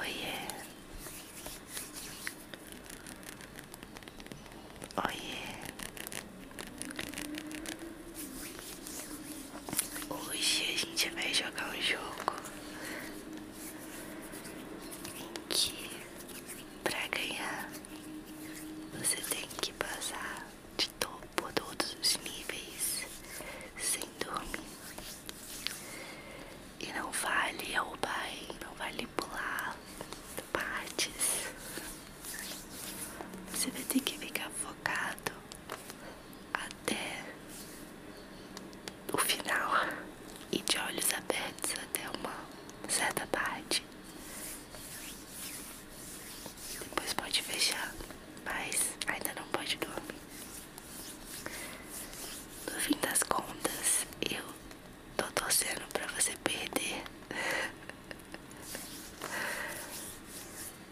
Oiê, oiê, hoje a gente vai jogar um jogo em que para ganhar você tem que passar de topo a todos os níveis sem dormir. E não vale ao não vale pular partes. Você vai ter que ficar focado até o final e de olhos abertos até uma certa parte. Depois pode fechar, mas ainda não pode dormir. No fim das contas, eu tô torcendo pra você perder.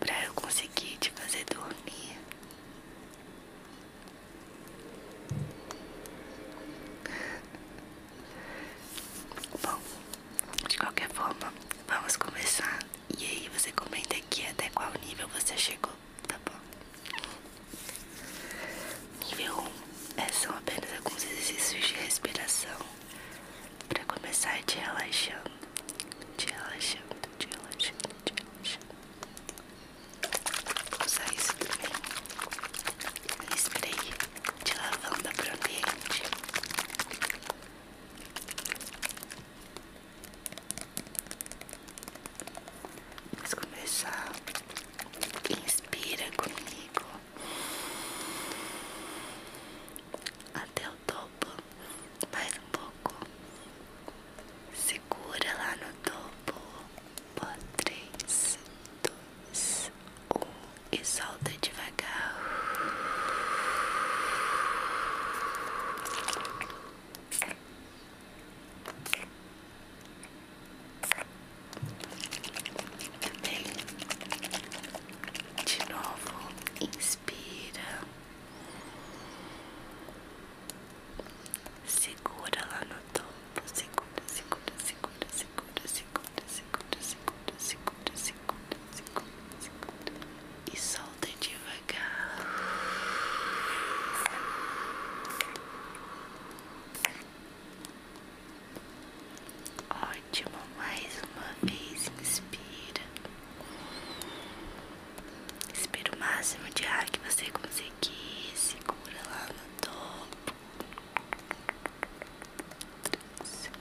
pra eu conseguir te fazer dormir. Bom, de qualquer forma, vamos começar. E aí você comenta aqui até qual nível você chegou, tá bom? Nível 1 é, são apenas alguns exercícios de respiração para começar te relaxando, te relaxando, te relaxando, te relaxando. Vou usar isso também. Respira aí de lavanda para o Vamos começar. Inspira comigo até o topo, mais um pouco. Segura lá no topo. três, dois, um e solta devagar. Bem, de novo, inspira, segura lá no topo, segura, segura, segura, segura, segura segura, segura, segura, segura, segura, segura, e solta devagar. Ótimo, mais uma vez inspira. Inspira o máximo de ar que você conseguir, segura lá no topo. Tranquilo.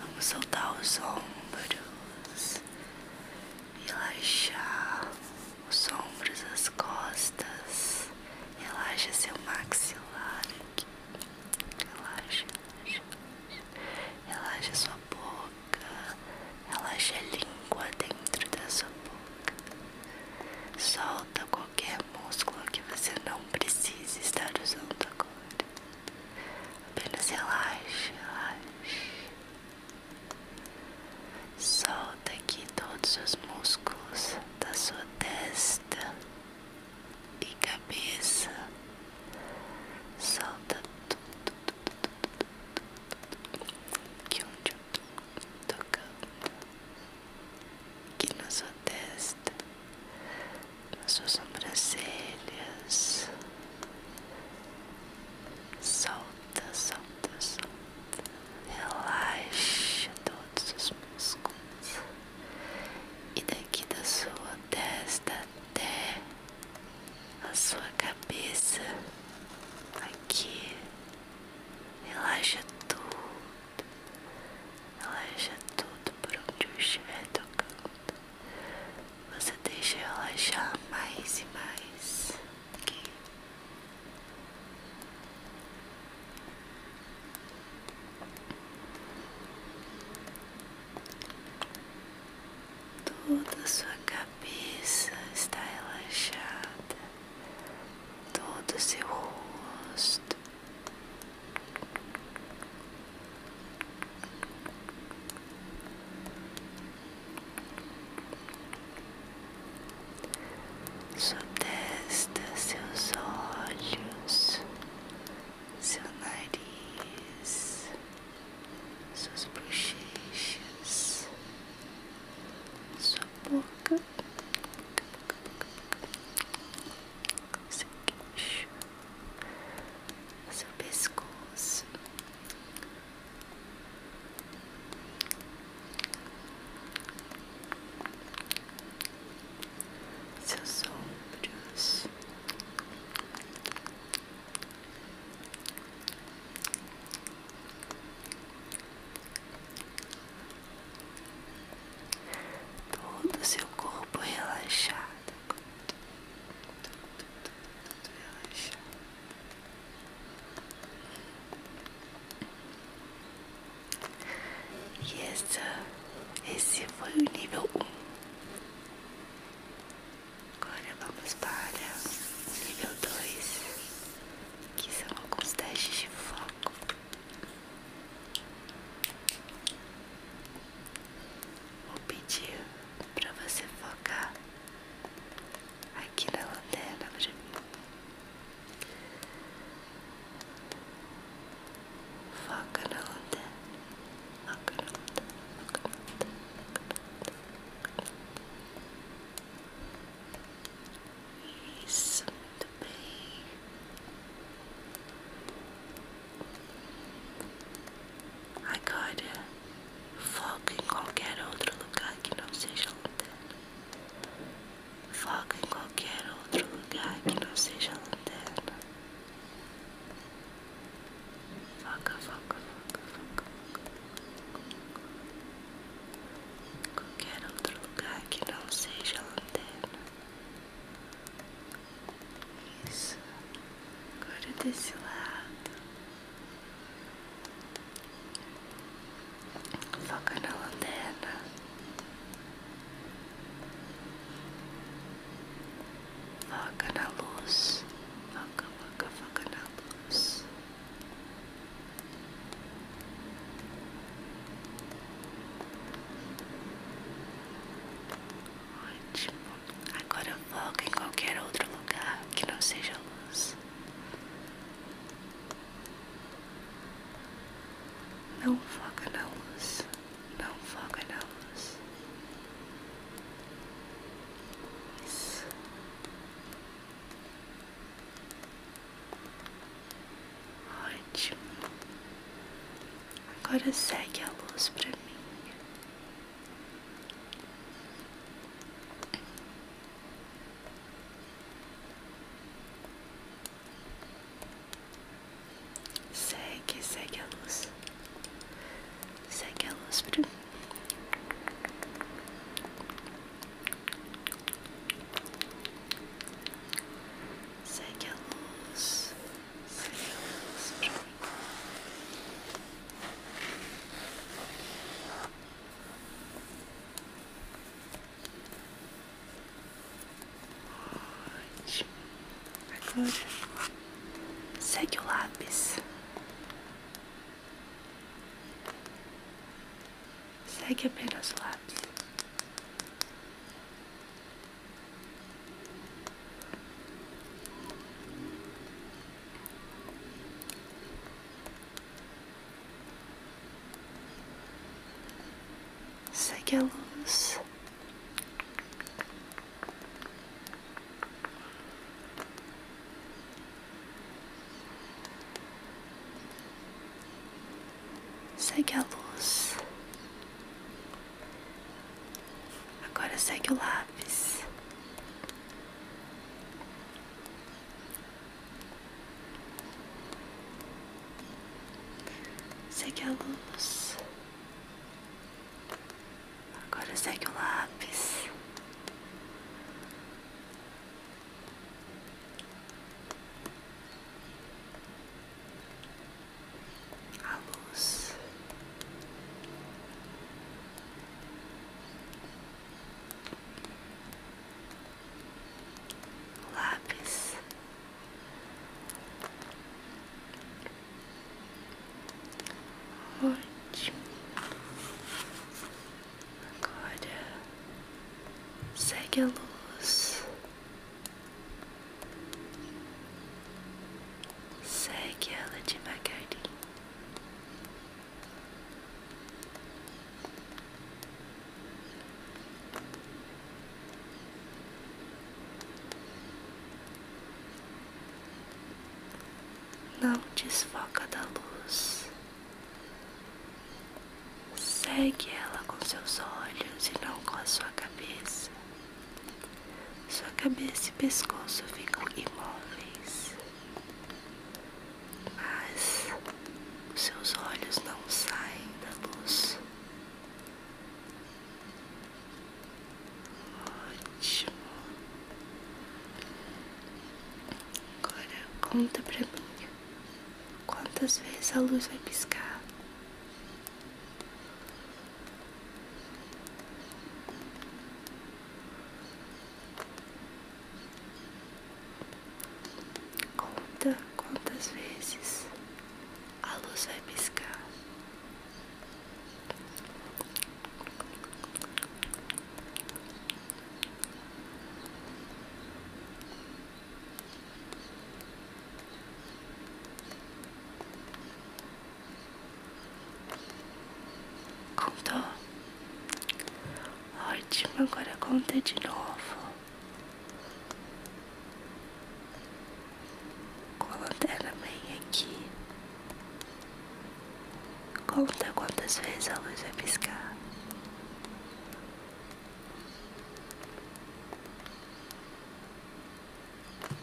Vamos soltar os ombros, relaxar os ombros, as costas, relaxa seu maxilar aqui, relaxa, relaxa, relaxa sua boca, relaxa a língua dentro da sua boca, solta qualquer músculo que você não precise estar usando agora. Apenas relaxe, relaxe. Solta aqui todos os músculos da sua testa e cabeça. Solta tudo, tudo, tudo, tudo tudo, tudo, tudo, tudo que onde eu tô tocando aqui na sua testa nas suas sobrancelhas. Solta, solta, solta. Relaxa todos os músculos. E daqui da sua testa até a sua cabeça. Aqui. Relaxa tudo. Relaxa tudo por onde eu estiver tocando. Você deixa relaxar mais e mais. Okay. Toda sua cabeça está relaxada, todo seu rosto sua testa, seus olhos, seu nariz, suas bochechas, sua boca, boca, boca, seu queixo o seu pescoço. Seus ombros, todo o seu corpo relaxado. E essa, esse foi o nível um Agora vamos para o nível dois que são alguns testes de foco. Vou pedir para você focar aqui na lanterna para mim. Foca na lanterna. Foca na lanterna. Foca na lanterna. Isso, muito bem. Agora, foca em qualquer outro lugar que não seja lanterna. Foca em qualquer outro lugar que não seja lanterna. Foca, foca, foca, foca. Qualquer outro lugar que não seja lanterna. Isso. Agora desse lado. Foca na lanterna. Foca na luz. Foca, foca, foca na luz. Ótimo. Agora foca em qualquer outro lugar que não seja luz. Não foca na luz. Não foca na luz. Isso. Ótimo. Agora segue a luz para mim. Segue, segue a luz. Segue a luz para mim. Segue a luz. Ótimo. Agora segue o lápis. Segue apenas o lápis. Segue a luz. Segue a luz. Agora segue o lápis. Segue a luz. Agora segue o lápis a luz. Lápis ótimo. Agora segue a luz Segue ela devagarinho. Não desfoca da luz. Segue ela com seus olhos e não com a sua cabeça. Sua cabeça e pescoço ficam imóveis, mas os seus olhos não saem da luz. Ótimo. Agora conta pra mim quantas vezes a luz vai piscar. Conta quantas vezes a luz vai piscar. Contou? Ótimo, agora conta de novo. Com a lanterna bem aqui. Conta quantas vezes a luz vai piscar.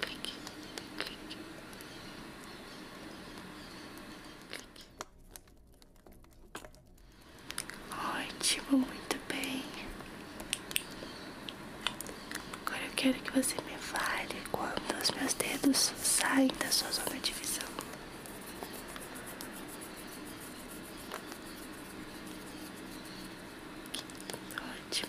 clique, clique, Ótimo, muito bem. Agora eu quero que você me fale quando os meus dedos saem da sua zona de visão. Ótimo.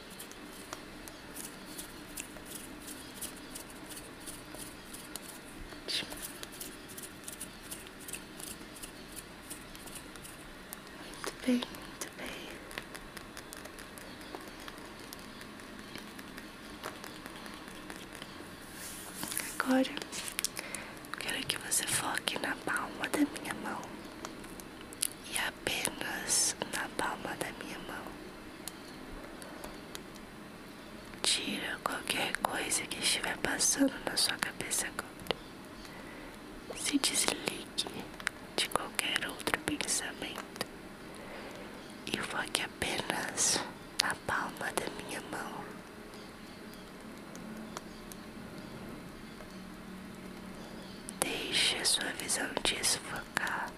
Muito bem, muito bem. Agora quero que você foque na palma da minha mão e apenas na palma da minha mão. Tira qualquer coisa que estiver passando na sua cabeça agora. Se desligue de qualquer outro pensamento e foque apenas na palma da minha mão. Deixe a sua visão desfocar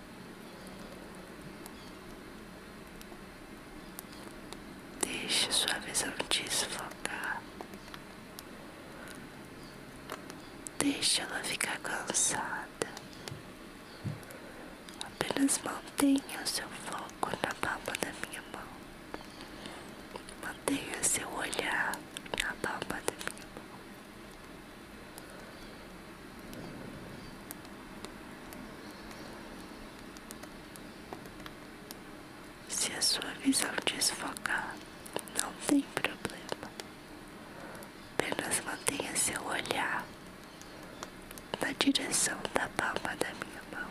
Deixe sua visão desfocar. Deixe ela ficar cansada. Apenas mantenha o seu foco na palma da minha mão. Mantenha seu olhar na palma da minha mão. Se a sua visão desfocar, não tem problema. Apenas mantenha seu olhar na direção da palma da minha mão.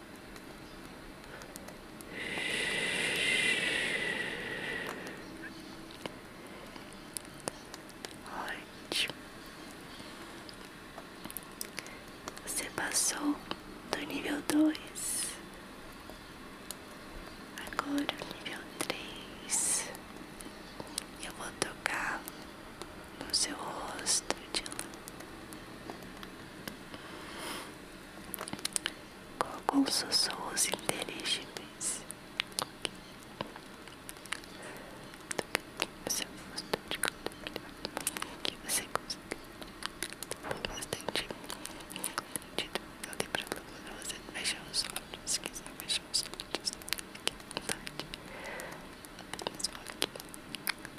Ótimo. Você passou do nível dois. Agora o nível três. Eu vou tocar no seu rosto, de Dylan com alguns sussurros inteligíveis. Você gostou de que você gostou bastante eu dei pra você os olhos, se quiser fechar os olhos, aqui à vontade. Mas aqui,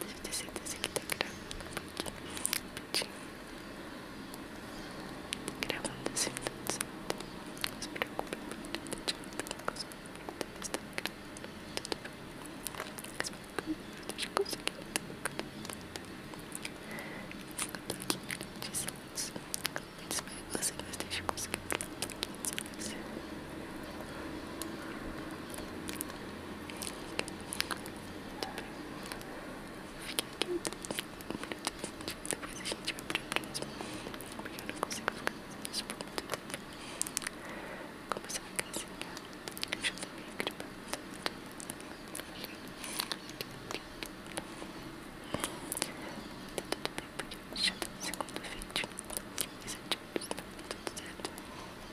Deve ter certeza que tá gravando. Gravando assim, tudo certo. Não se preocupe, porque eu tô te gravando. Tudo bem. Consegui. Eu tô aqui me dizendo. Espero que você não esteja conseguindo. Fica aqui um minuto. Depois a gente vai pra próxima. Porque eu não consigo ficar fazendo isso por muito tempo. Começou a casinha. Eu já tô meio gripando. Tá tudo bem, porque eu já tô no segundo vídeo. Isso é tipo, tá tudo certo. Então,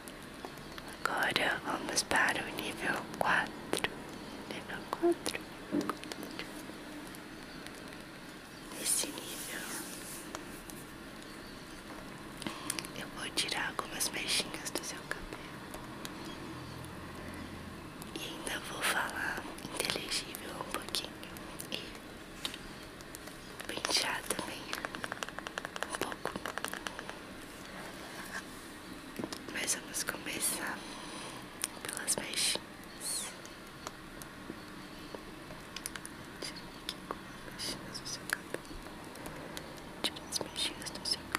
Agora vamos para o nível quatro. Nível quatro. Nesse nível eu vou tirar algumas mechinhas do seu cabelo. E ainda vou falar inteligível um pouquinho. E pentear também um pouco. Mas vamos começar pelas mexinhas. Deixa eu ver aqui com mexinhas no seu cabelo. Tira as mexinhas do seu cabelo.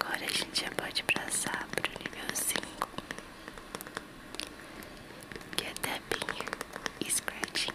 Agora a gente já pode passar pro nível cinco que é tapping e scratching.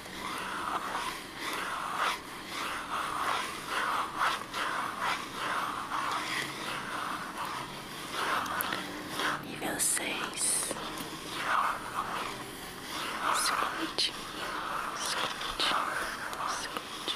Nível seis, escute, escute, escute.